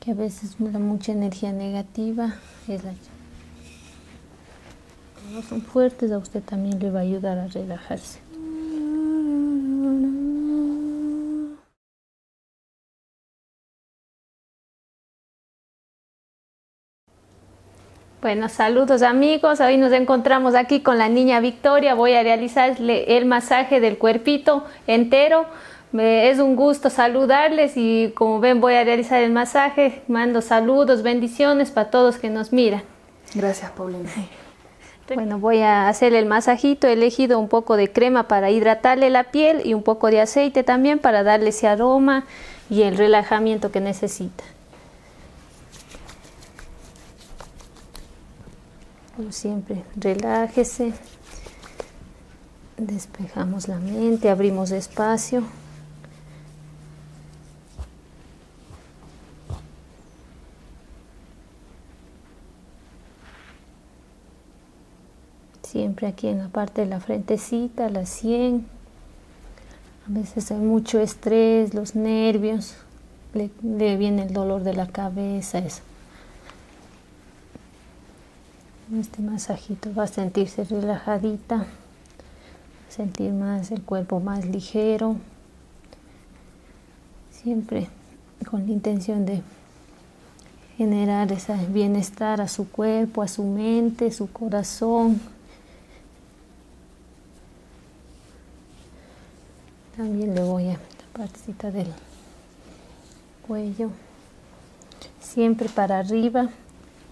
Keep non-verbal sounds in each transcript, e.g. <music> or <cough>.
que a veces da mucha energía negativa, es la no son fuertes, a usted también le va a ayudar a relajarse. Bueno, saludos amigos, hoy nos encontramos aquí con la niña Voy a realizarle el masaje del cuerpito entero. Es un gusto saludarles y como ven voy a realizar el masaje. Mando saludos, bendiciones para todos que nos miran. Gracias, Paulina. <laughs> Bueno, voy a hacer el masajito. He elegido un poco de crema para hidratarle la piel y un poco de aceite también para darle ese aroma y el relajamiento que necesita como siempre, relájese, despejamos la mente, abrimos espacio. Siempre aquí en la parte de la frentecita, la 100. A veces hay mucho estrés, los nervios, le, viene el dolor de la cabeza, Este masajito va a sentirse relajadita, sentir más el cuerpo más ligero, siempre con la intención de generar ese bienestar a su cuerpo, a su mente, su corazón también le voy a la parte del cuello siempre para arriba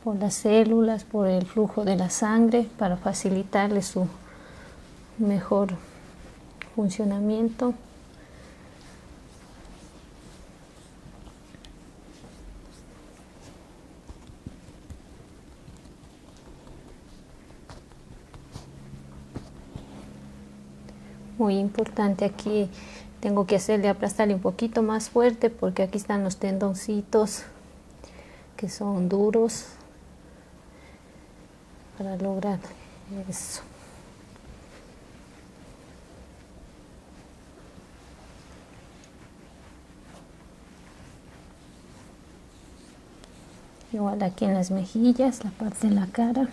por las células por el flujo de la sangre para facilitarle su mejor funcionamiento muy importante aquí tengo que hacerle aplastarle un poquito más fuerte porque aquí están los tendoncitos que son duros para lograr eso igual aquí en las mejillas la parte de la cara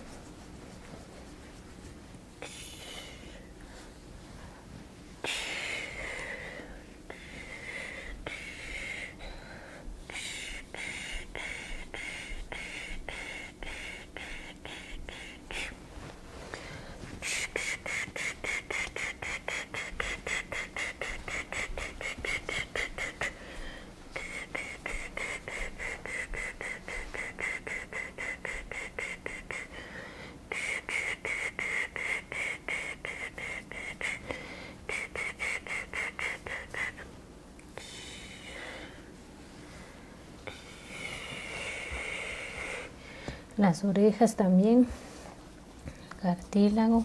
las orejas también cartílago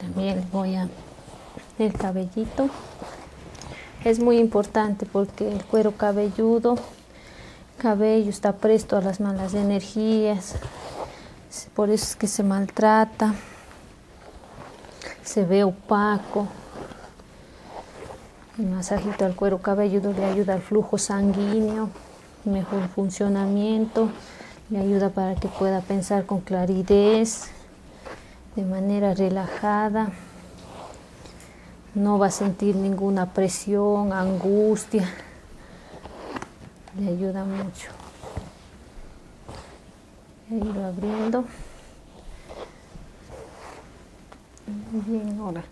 también voy a el cabellito. Es muy importante porque el cuero cabelludo, cabello está presto a las malas energías, por eso es que se maltrata, se ve opaco. El masajito al cuero cabelludo le ayuda al flujo sanguíneo, mejor funcionamiento, le ayuda para que pueda pensar con claridad, de manera relajada. No va a sentir ninguna presión, angustia le ayuda mucho. a irlo abriendo. Muy bien, ahora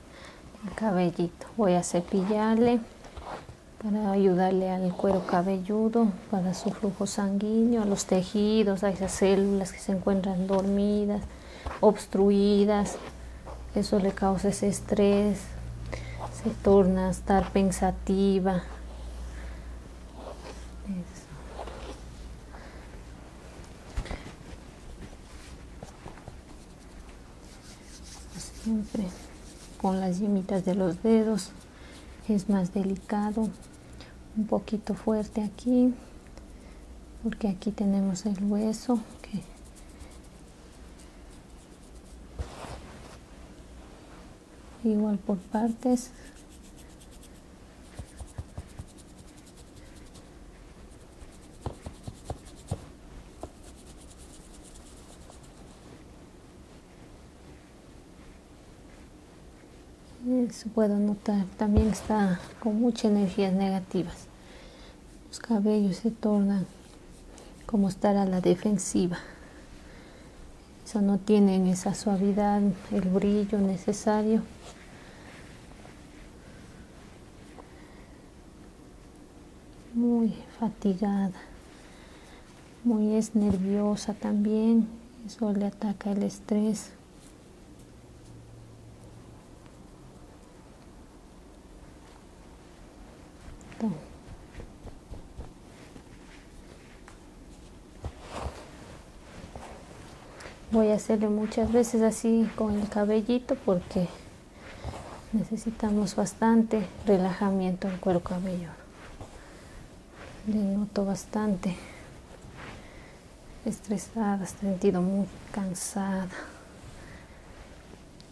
el cabellito. Voy a cepillarle para ayudarle al cuero cabelludo, para su flujo sanguíneo, a los tejidos, a esas células que se encuentran dormidas, obstruidas. Eso le causa ese estrés, se torna a estar pensativa, Siempre con las yemitas de los dedos es más delicado, un poquito fuerte aquí, porque aquí tenemos el hueso que igual por partes se puedo notar también está con muchas energías negativas los cabellos se tornan como estar a la defensiva eso no tienen esa suavidad, el brillo necesario. Muy fatigada, muy es nerviosa también, eso le ataca el estrés. Voy a hacerle muchas veces así con el cabellito porque necesitamos bastante relajamiento en cuero cabelludo. Le noto bastante estresada, sentido muy cansada.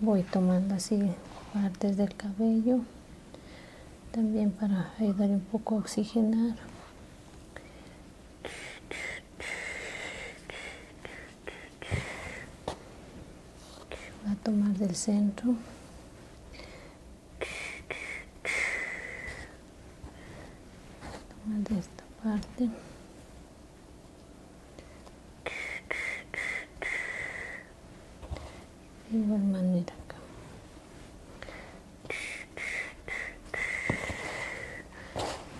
voy tomando así partes del cabello también para ayudar un poco a oxigenar va a tomar del centro tomar de esta parte de igual manera acá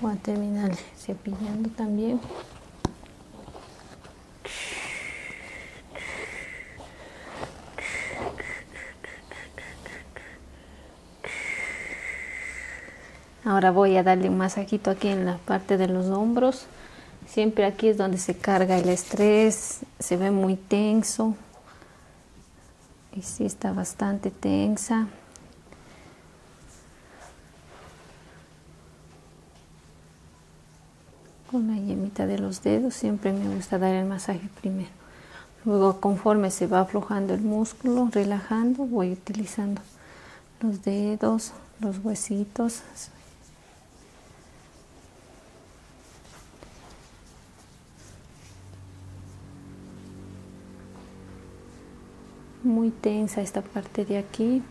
voy a terminar cepillando también Ahora voy a darle un masajito aquí en la parte de los hombros Siempre aquí es donde se carga el estrés, se ve muy tenso. Y si está bastante tensa. Con la yemita de los dedos siempre me gusta dar el masaje primero. Luego conforme se va aflojando el músculo, relajando, voy utilizando los dedos, los huesitos muy tensa esta parte de aquí.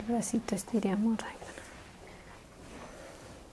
El bracito estiramos,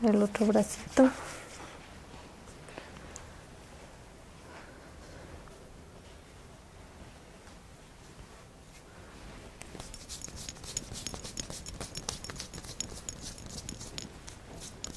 El otro bracito.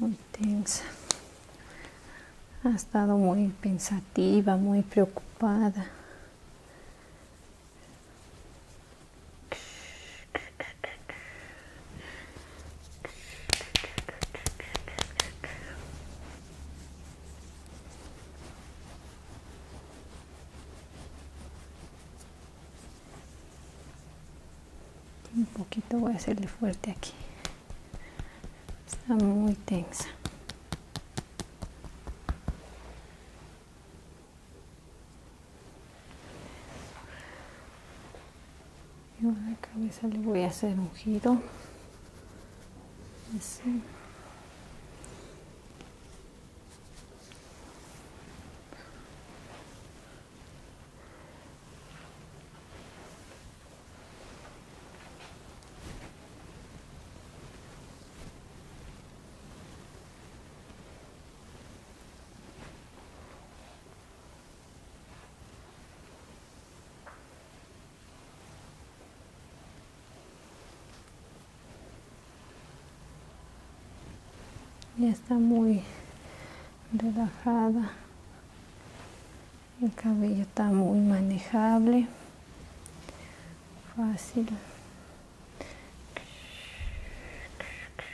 Muy tensa. Ha estado muy pensativa, muy preocupada un poquito voy a hacerle fuerte aquí está muy tensa y a la cabeza le voy a hacer un giro ya está muy relajada el cabello está muy manejable fácil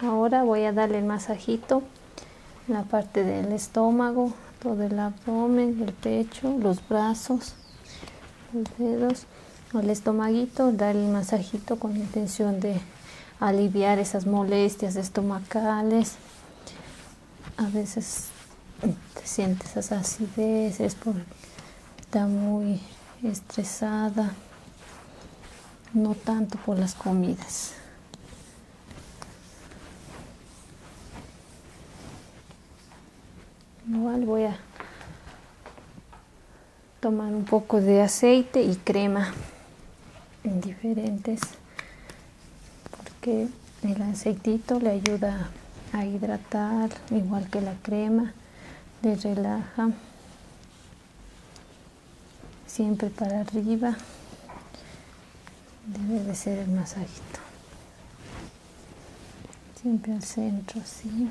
Ahora voy a darle el masajito en la parte del estómago, todo el abdomen, el pecho, los brazos, los dedos, el estomaguito, darle el masajito con intención de aliviar esas molestias estomacales, a veces te sientes esas acidez, es por, está muy estresada, no tanto por las comidas. Igual voy a tomar un poco de aceite y crema diferentes porque el aceitito le ayuda a hidratar, igual que la crema, le relaja siempre para arriba debe de ser el masajito siempre al centro así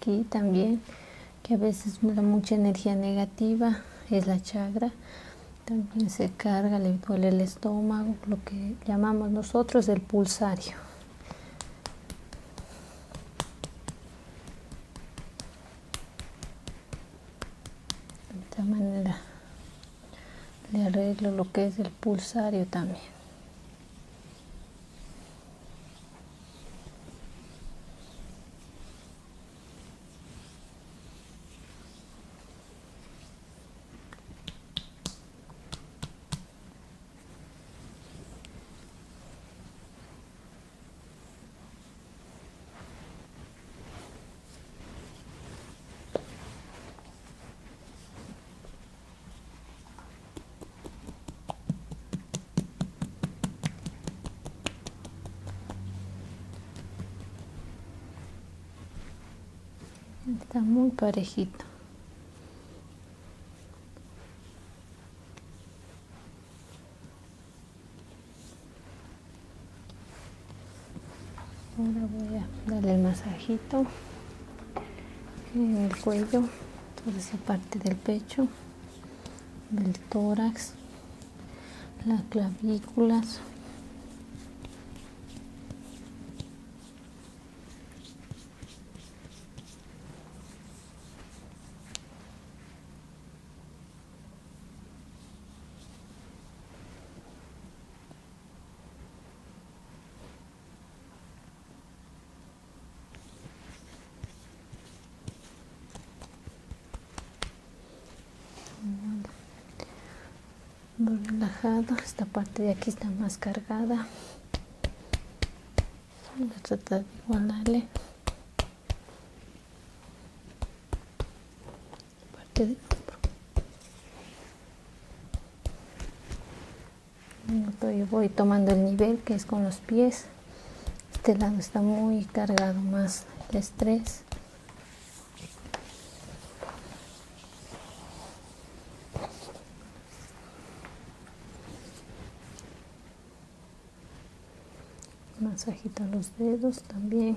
Aquí también, que a veces da mucha energía negativa, es la chagra. También se carga, le duele el estómago, lo que llamamos nosotros el pulsario de esta manera le arreglo lo que es el pulsario también Está muy parejito. Ahora voy a darle el masajito en el cuello, toda esa parte del pecho, del tórax, las clavículas relajado esta parte de aquí está más cargada voy a tratar de igualarle parte este voy tomando el nivel que es con los pies este lado está muy cargado más el estrés masajita los dedos también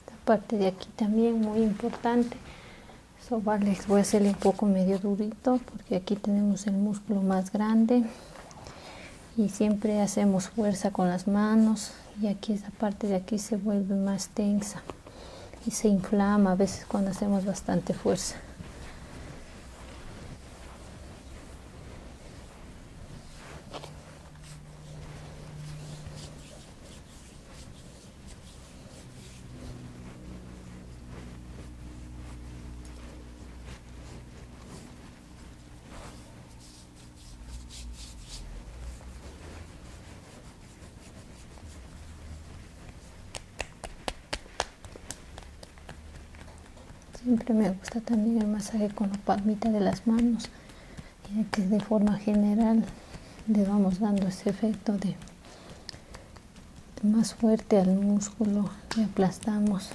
esta parte de aquí también muy importante sobarles voy a hacerle un poco medio durito porque aquí tenemos el músculo más grande y siempre hacemos fuerza con las manos y aquí esta parte de aquí se vuelve más tensa y se inflama a veces cuando hacemos bastante fuerza Siempre me gusta también el masaje con la palmita de las manos que de forma general le vamos dando ese efecto de más fuerte al músculo le aplastamos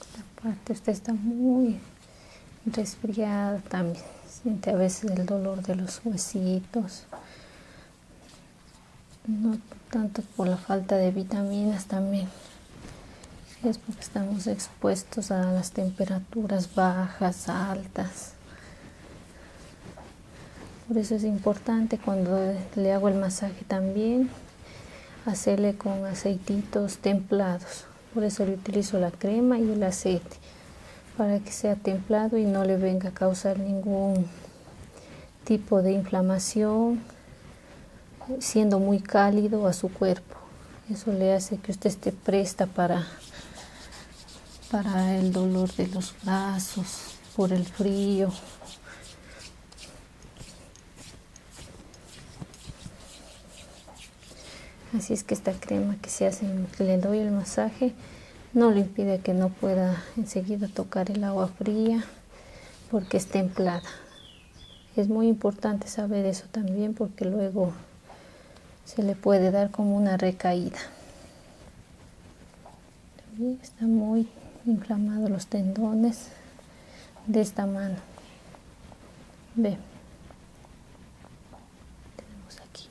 esta parte usted está muy resfriada también. Siente a veces el dolor de los huesitos. No tanto por la falta de vitaminas también. Es porque estamos expuestos a las temperaturas bajas, altas. Por eso es importante cuando le hago el masaje también hacerle con aceititos templados. Por eso le utilizo la crema y el aceite para que sea templado y no le venga a causar ningún tipo de inflamación siendo muy cálido a su cuerpo. Eso le hace que usted esté presta para para el dolor de los brazos, por el frío, Así es que esta crema que se hace, le doy el masaje, no le impide que no pueda enseguida tocar el agua fría porque es templada. Es muy importante saber eso también porque luego se le puede dar como una recaída está muy inflamado los tendones de esta mano. Ve. aquí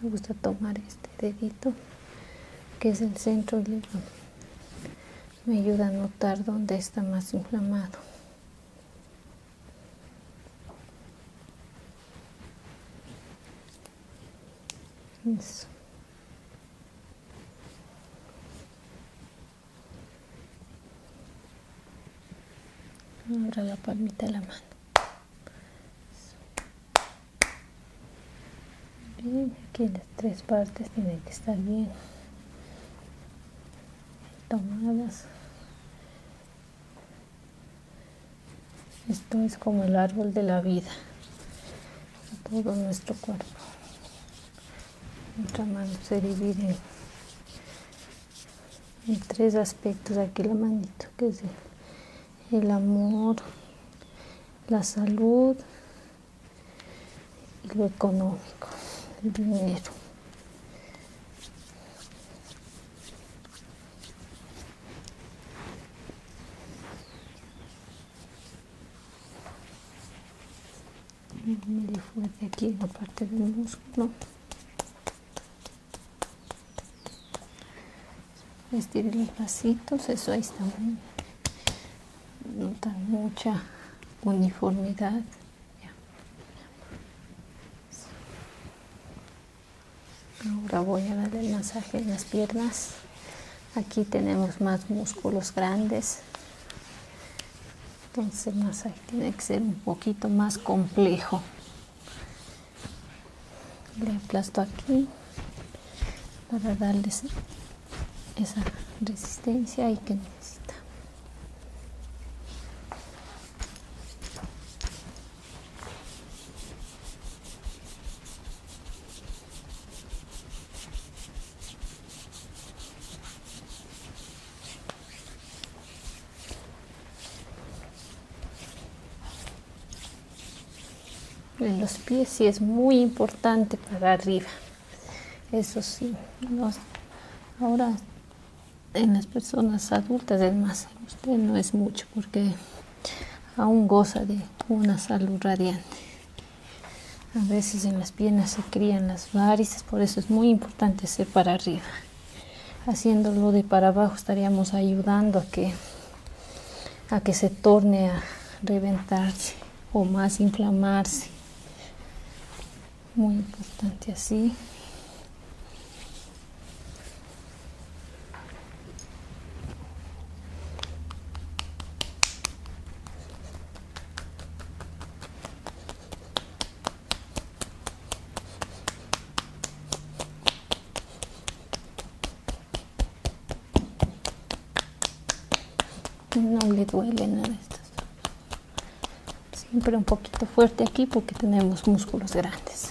me gusta tomar este dedito que es el centro y me ayuda a notar dónde está más inflamado Eso. Ahora la palmita de la mano. Bien, aquí las tres partes tienen que estar bien tomadas. Esto es como el árbol de la vida, todo nuestro cuerpo. Nuestra mano se divide hay tres aspectos aquí la manito que es el, amor la salud y lo económico el dinero me fuerte aquí en la parte del músculo Vestir los vasitos, eso ahí está bien. Notan mucha uniformidad. Ahora voy a dar el masaje en las piernas. Aquí tenemos más músculos grandes. Entonces el masaje tiene que ser un poquito más complejo le aplasto aquí para darles esa resistencia y que necesita en los pies sí es muy importante para arriba. Eso sí, ahora en las personas adultas es más, no es mucho porque aún goza de una salud radiante. A veces en las piernas se crían las varices, por eso es muy importante ser para arriba haciéndolo de para abajo estaríamos ayudando a que a que se torne a reventarse o más inflamarse muy importante así no le duele nada Siempre un poquito fuerte aquí porque tenemos músculos grandes.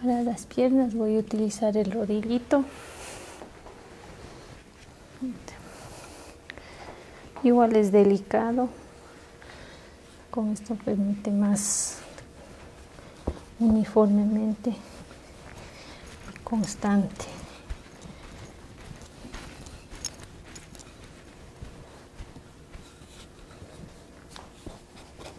Para las piernas voy a utilizar el rodillito. Igual es delicado. Con esto permite más uniformemente constante.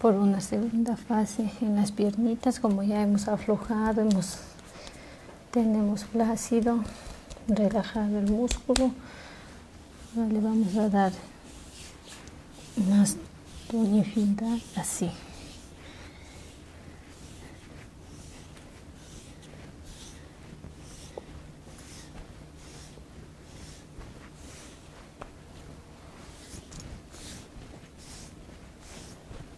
por una segunda fase, en las piernitas, como ya hemos aflojado, hemos, tenemos plácido relajado el músculo. le vamos a dar más tonicidad, así.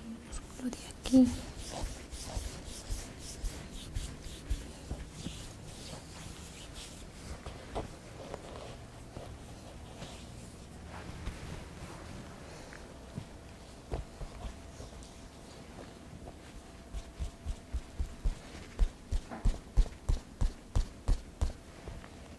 el músculo de aquí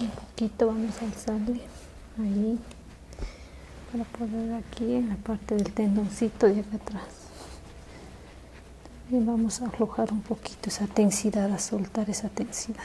un poquito vamos a alzarle ahí para poder aquí en la parte del tendoncito de acá atrás y vamos a aflojar un poquito esa tensidad a soltar esa tensidad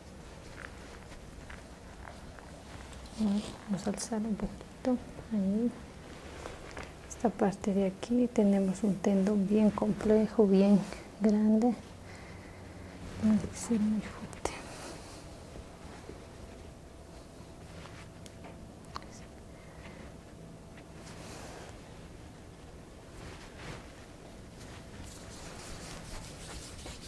Vamos a alzar un poquito ahí. Esta parte de aquí tenemos un tendón bien complejo, bien grande. fuerte.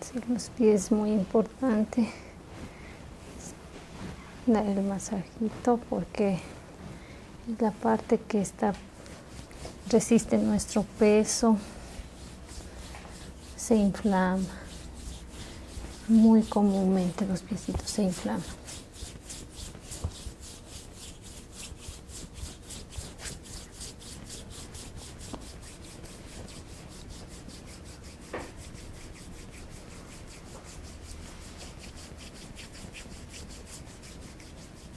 si los pies muy importante dar el masajito porque la parte que está resiste nuestro peso, se inflama. Muy comúnmente los piecitos se inflaman.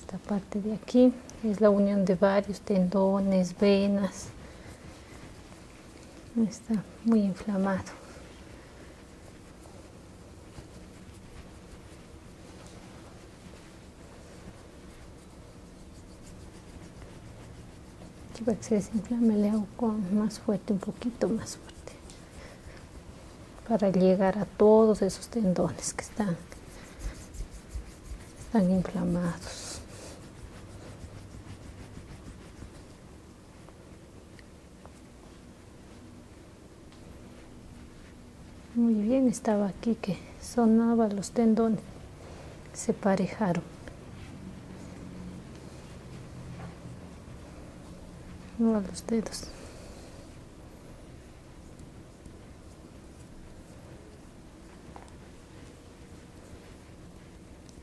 esta parte de aquí es la unión de varios tendones, venas está muy inflamado Aquí que se desinflame le hago con más fuerte un poquito más fuerte para llegar a todos esos tendones que están están inflamados muy bien, estaba aquí que sonaba los tendones, se parejaron. a los dedos.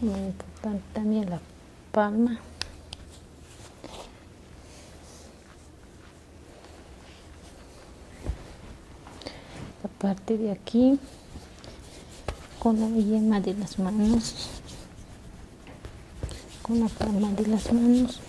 muy importante también la palma la parte de aquí con la yema de las manos con la palma de las manos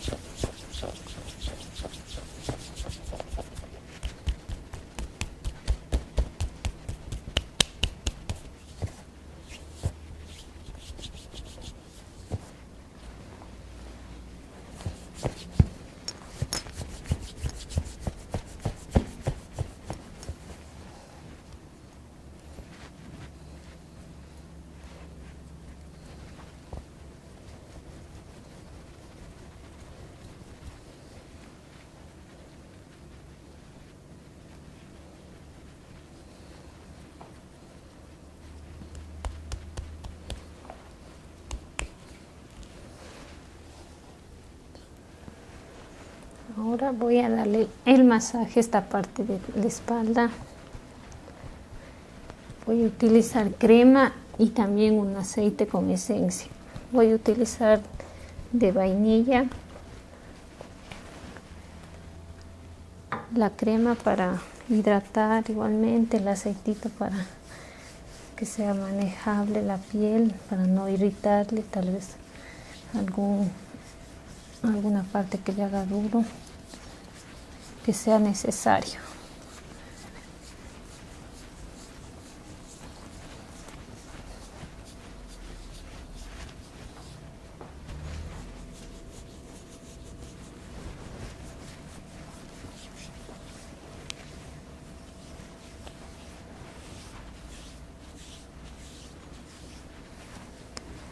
Ahora voy a darle el masaje a esta parte de la espalda Voy a utilizar crema y también un aceite con esencia. Voy a utilizar de vainilla la crema para hidratar igualmente el aceitito para que sea manejable la piel para no irritarle tal vez algún alguna parte que le haga duro que sea necesario.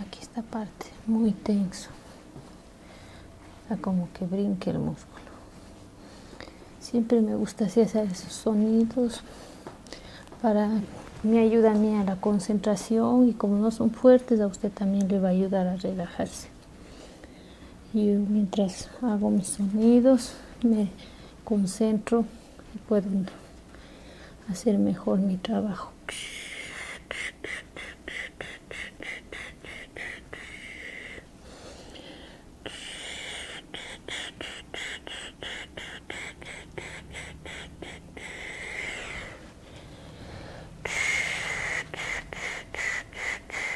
Aquí esta parte, muy tenso. a como que brinque el músculo. Siempre me gusta hacer esos sonidos para me ayuda a mí a la concentración y como no son fuertes a usted también le va a ayudar a relajarse y mientras hago mis sonidos me concentro y puedo hacer mejor mi trabajo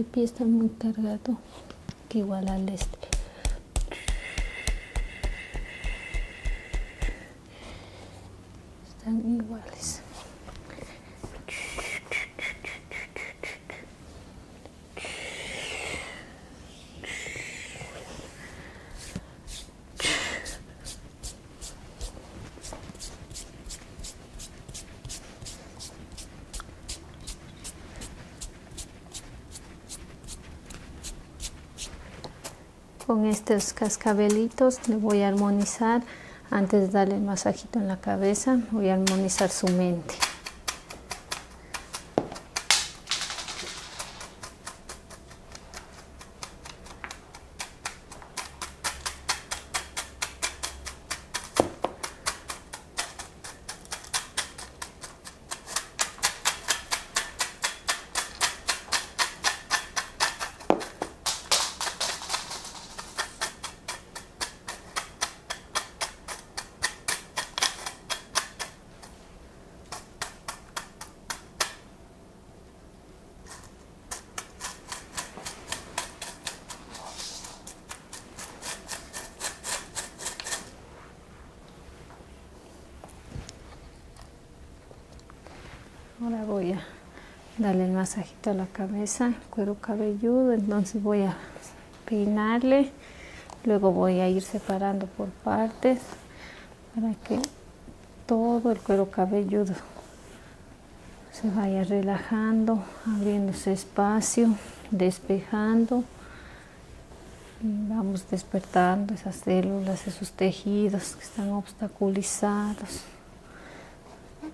Este pie está muy cargado, que igual al este. Están iguales. Con estos cascabelitos le voy a armonizar antes de darle el masajito en la cabeza, voy a armonizar su mente. Ahora voy a darle el masaje la cabeza, cuero cabelludo, entonces voy a peinarle, luego voy a ir separando por partes para que todo el cuero cabelludo se vaya relajando, abriendo ese espacio, despejando vamos despertando esas células, esos tejidos que están obstaculizados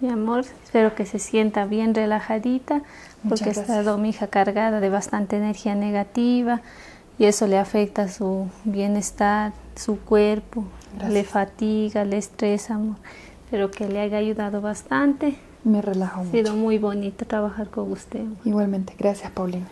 Mi amor, espero que se sienta bien relajadita porque ha estado mi hija cargada de bastante energía negativa y eso le afecta su bienestar, su cuerpo, le fatiga, le estresa, Pero que le haya ayudado bastante. Me relajo mucho. Ha sido muy bonito trabajar con usted. Igualmente, gracias Paulina.